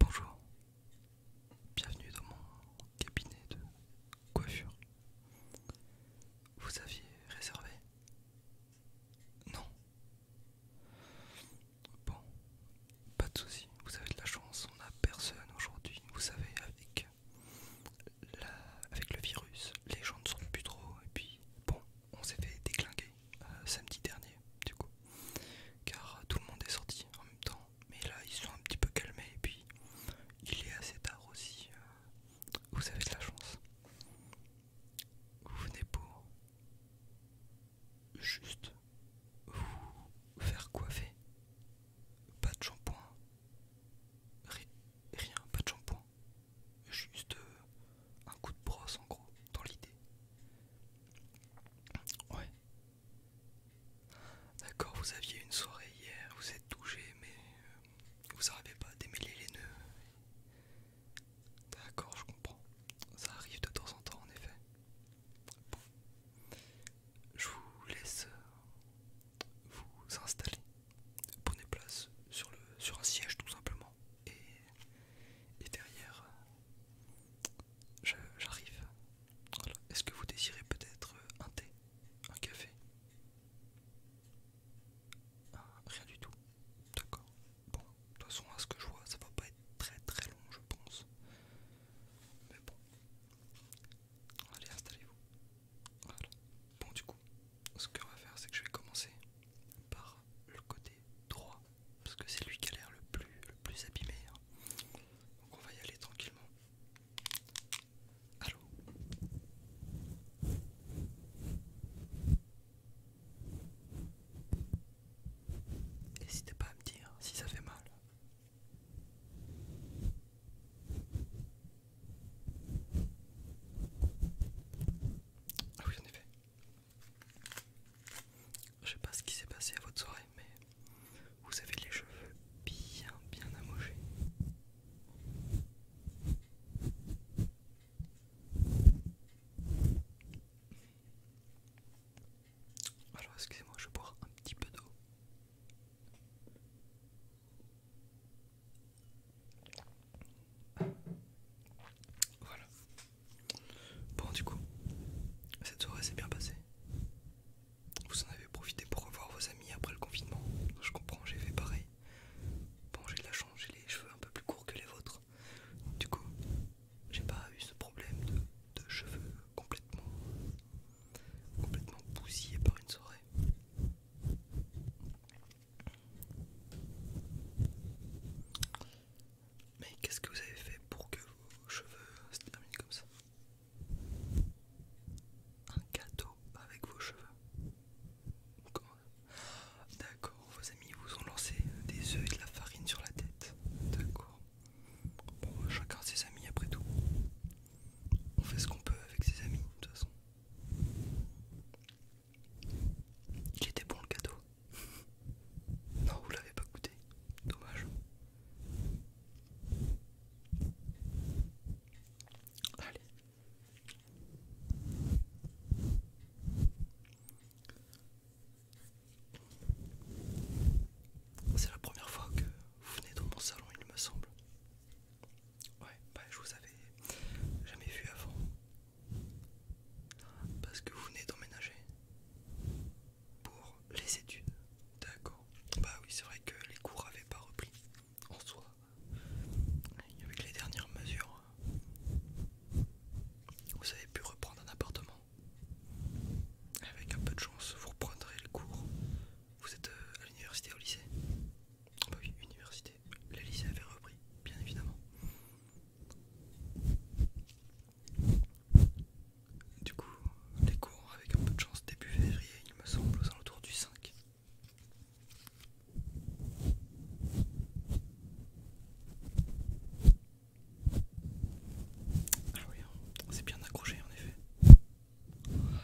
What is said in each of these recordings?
Bonjour, bienvenue dans mon cabinet de coiffure. Vous aviez réservé Non. Bon, pas de souci, vous avez de la chance, on n'a personne aujourd'hui. Vous savez, avec, avec le virus, les gens ne sont plus trop et puis bon, on s'est fait déglinguer. Euh, samedi dernier, du coup, car euh, tout le monde est sorti en même temps. Mais là, ils sont un petit peu calmés et puis il est assez tard aussi. Euh, vous avez de la chance. Vous venez pour juste vous faire coiffer. Pas de shampoing. Rien, pas de shampoing. Juste euh, un coup de brosse en gros, dans l'idée. Ouais. D'accord, vous aviez une soirée hier, vous êtes touché, mais euh, vous n'arrivez pas à démêler les nœuds. D'accord, je comprends. Ça arrive de temps en temps, en effet. Je vous laisse euh, vous installer. Prenez place sur, le, sur un siège, tout simplement. Et, derrière, euh, j'arrive. Est-ce que vous désirez peut-être euh, un thé, un café ah, Rien du tout. D'accord. Bon, de toute façon, à ce que je vois, ça va pas être très très long, je pense. Mais bon. Allez, installez-vous. Voilà. Bon, du coup ce que va faire, c'est que je vais commencer par le côté droit, parce que c'est lui qui a l'air le plus, le plus abîmé. Hein. Donc on va y aller tranquillement. Allô N'hésitez pas à me dire si ça fait mal. Ah oui, en effet. Je sais pas ce qui s'est passé à votre soirée, mais vous avez les cheveux bien, bien amogés. Alors, excusez-moi, je vais boire un petit peu d'eau. Voilà. Bon, du coup, cette soirée s'est bien passée. Vous en avez profité pour revoir vos amis après le confinement. Je comprends, j'ai fait pareil. Bon, j'ai de la chance, j'ai les cheveux un peu plus courts que les vôtres. Du coup, j'ai pas eu ce problème de, cheveux complètement, complètement bousillés par une soirée. Mais qu'est-ce que vous avez fait pour que vos cheveux se terminent comme ça Un gâteau avec vos cheveux D'accord, vos amis vous ont lancé des œufs et de la farine sur la tête. D'accord. Bon, chacun ses amis après tout. On fait ce qu'on peut avec ses amis de toute façon. Il était bon le cadeau. Non, vous l'avez pas goûté. Dommage. Allez. C'est la première fois que vous venez dans mon salon, il me semble. Ouais, bah, je vous avais jamais vu avant. Parce que vous venez d'emménager pour les études. D'accord. Bah oui, c'est vrai que les cours n'avaient pas repris en soi. Avec les dernières mesures, vous avez pu reprendre un appartement. Avec un peu de chance, vous reprendrez le cours vous êtes euh, à l'université ou au lycée Bah oui, université. Les lycées avaient repris, bien évidemment. Du coup, les cours avec un peu de chance début février, il me semble, aux alentours du 5. Ah oui, hein. c'est bien accroché en effet. Voilà.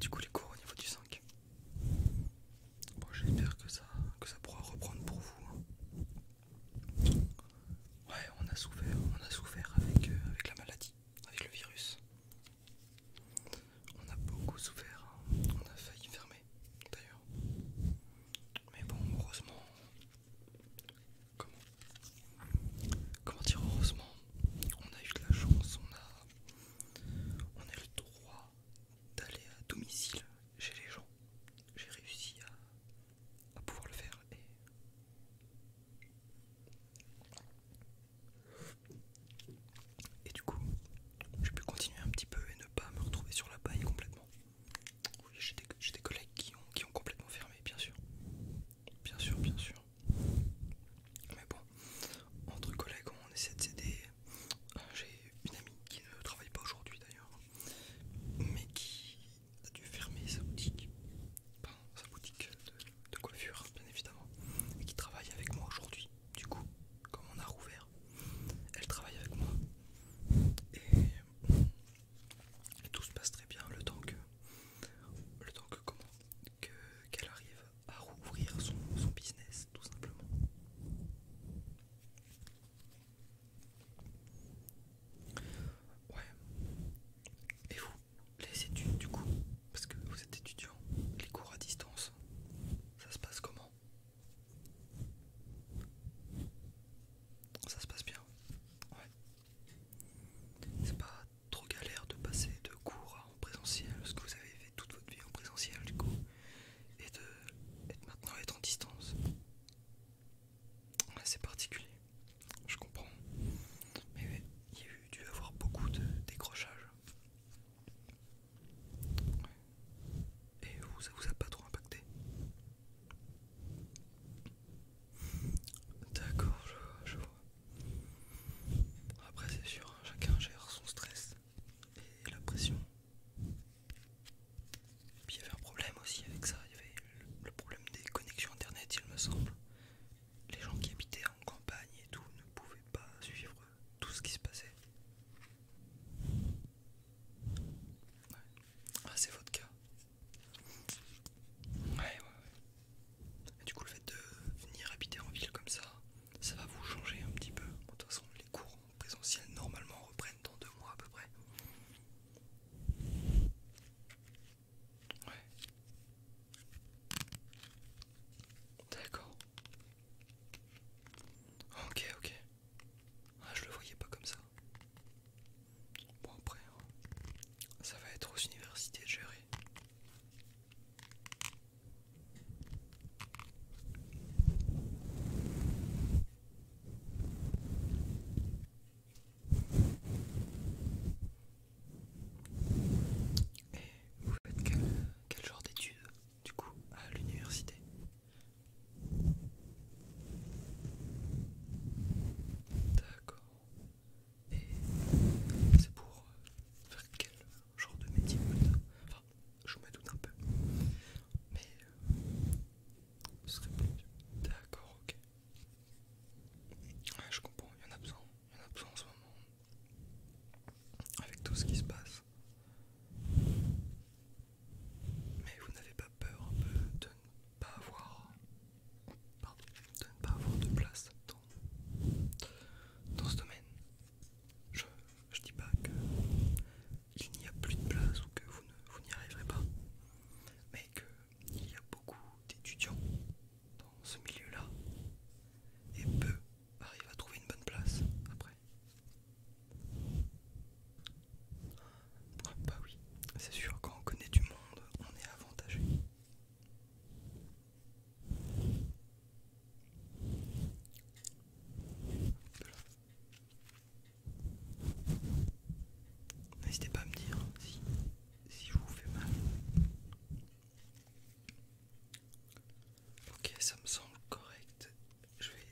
du coup, les cours au niveau du 5. j'espère que ça, que ça pourra reprendre pour vous. Hein. Ouais, on a souffert, on a souffert avec, euh, avec la maladie, avec le virus. On a beaucoup souffert, hein. on a failli fermer d'ailleurs. Mais bon, heureusement, comment, dire heureusement on a eu de la chance on a on a le droit d'aller à domicile chez les gens j'ai réussi à, pouvoir le faire et et du coup, j'ai pu continuer un petit peu et ne pas me retrouver sur la paille complètement. Oui, j'ai des, collègues qui ont, complètement fermé, bien sûr. Bien sûr, bien sûr. Mais bon, entre collègues, on essaie de s'aider. Euh, j'ai une amie qui ne travaille pas aujourd'hui d'ailleurs, mais qui a dû fermer sa boutique. Pardon, sa boutique de, de coiffure, bien évidemment, et qui travaille avec moi aujourd'hui. Du coup, comme on a rouvert, elle travaille avec moi. Et tout se passe très bien le temps que le temps que comment qu'elle arrive à rouvrir son, son business tout simplement ouais et vous les études du coup parce que vous êtes étudiant les cours à distance ça se passe comment ça se passe bien. Ouais. C'est pas trop galère de passer de cours en présentiel, ce que vous avez fait toute votre vie en présentiel du coup, et de maintenant être en distance. c'est particulier. Je comprends. Mais il y a eu dû avoir beaucoup de décrochages. Et vous, ça vous a pas trop impacté D'accord, je, vois. Après, c'est sûr, hein, chacun gère son stress et la pression. Puis il y avait un problème aussi avec ça, il y avait le, problème des connexions internet, il me semble. Les gens qui habitaient en campagne et tout ne pouvaient pas suivre tout ce qui se passait. Ah, c'est votre cas. Ouais, ouais, du coup, le fait de venir habiter en ville comme ça, ça va vous changer un petit peu. de toute façon, les cours en présentiel normalement reprennent dans deux mois à peu près. D'accord. Ok, ok. Ah, je le voyais pas comme ça. Bon, après, hein. ça va être aux universités de gérer. Et eh, vous faites quel genre d'études du coup à l'université. D'accord. Et c'est pour euh, faire quel genre de métier Enfin, je me doute un peu. Mais euh, ce serait plus. D'accord, ok. Ouais, je comprends, il y en a besoin. Il en a besoin en ce moment avec tout ce qui se passe. Mais vous n'avez pas peur de ne pas avoir, de ne pas avoir de place dans, ce domaine. Je ne dis pas qu'il n'y a plus de place ou que vous n'y arriverez pas, mais qu'il y a beaucoup d'étudiants dans ce milieu-là et peu arrive bah, à trouver une bonne place après. bah oui, c'est sûr, quand on connaît du monde, on est avantagé. N'hésitez pas à me dire si, si je vous fais mal. Ok, ça me semble correct. Je vais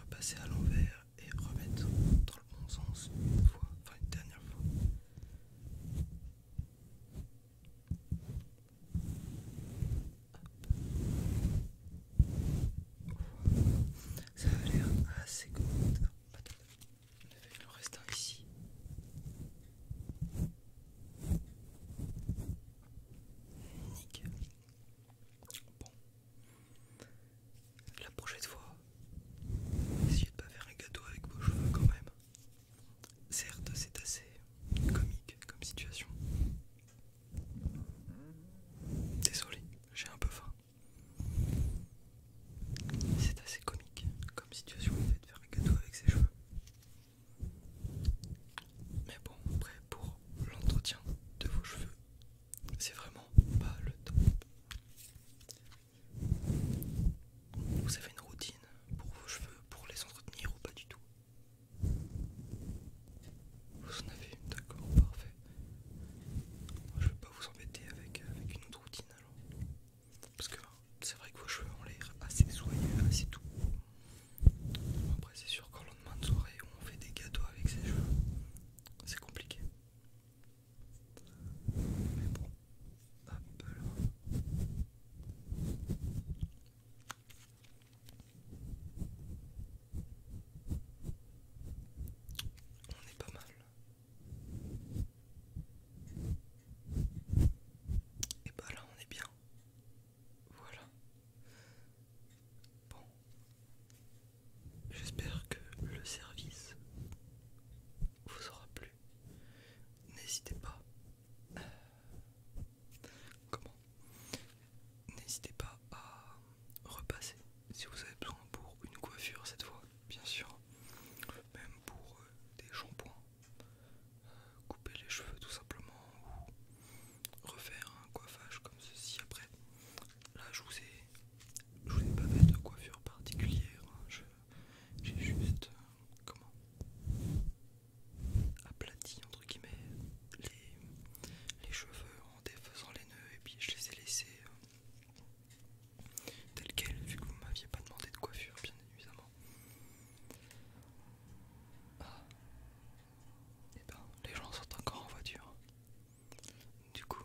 repasser à l'envers et remettre dans le bon sens une fois, enfin une dernière fois. Ça a l'air assez correct. Il en reste un ici. Nickel. Bon. La prochaine fois, essayez de pas faire un gâteau avec vos cheveux quand même. Certes, c'est assez comique comme situation. Désolé, j'ai un peu faim. C'est assez comique comme situation le fait de faire un gâteau avec ses cheveux. Mais bon, après pour l'entretien de vos cheveux, c'est vraiment pas le temps. Vous avez une routine pour vos cheveux, pour les entretenir ou pas du tout Vous en avez une, d'accord, parfait. je vais pas vous embêter avec, avec une autre routine alors. Parce que c'est vrai que vos cheveux ont l'air assez soyeux, assez doux. Après, c'est sûr qu'au lendemain de soirée, on fait des gâteaux avec ses cheveux. C'est compliqué. Mais bon, On est pas mal. Et bah là on est bien. Voilà. Bon. J'espère que le service vous aura plu. N'hésitez pas. Euh, comment N'hésitez pas à repasser si vous avez besoin pour une coiffure cette fois, bien sûr même pour euh, des shampoings, euh, couper les cheveux tout simplement ou refaire un coiffage comme ceci. Après, là je vous ai, vous ai pas fait de coiffure particulière, hein. j'ai juste euh, comment aplati entre guillemets les, les cheveux en défaisant les nœuds et puis je les ai laissés tel quel, vu que vous m'aviez pas demandé de coiffure, bien évidemment. Ah. Et eh ben, les gens sont encore en voiture. Du coup,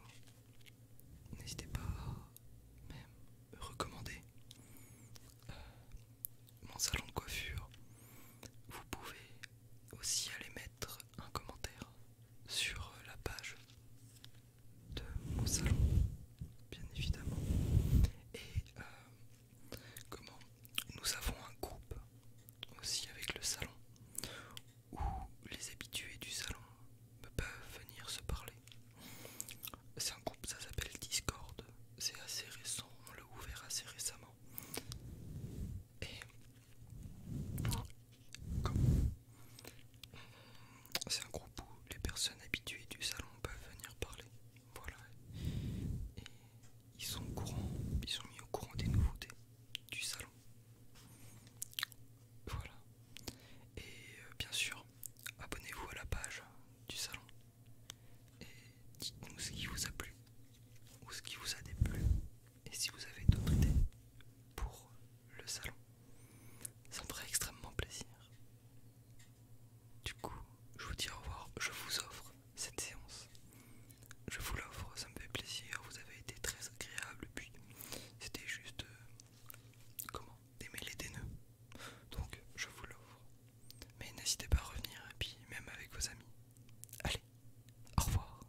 n'hésitez pas à même recommander euh, mon salon de coiffure. Vous pouvez aussi aller mettre un commentaire sur la page de mon salon, bien évidemment. Et euh, comment Nous avons un groupe aussi avec le salon où les habitués du salon peuvent venir se parler. C'est un groupe, ça s'appelle Discord. C'est assez récent, on l'a ouvert assez récemment. Et c'est un groupe où les personnes habituées du salon peuvent venir parler. Voilà. ils sont au courant, ils sont mis au courant des nouveautés du salon. Voilà. Et euh, bien sûr, abonnez-vous à la page du salon. Et dites-nous ce qui vous a plu ou ce qui vous a déplu. Et si vous avez d'autres idées pour le salon. Ça me ferait extrêmement plaisir. Du coup, je vous dis au revoir. Je vous offre cette séance. Je vous l'offre, ça me fait plaisir. Vous avez été très agréable. Puis, c'était juste. Euh, comment Démêler des nœuds. Donc, je vous l'offre. Mais n'hésitez pas à revenir, et puis même avec vos amis. Allez, au revoir.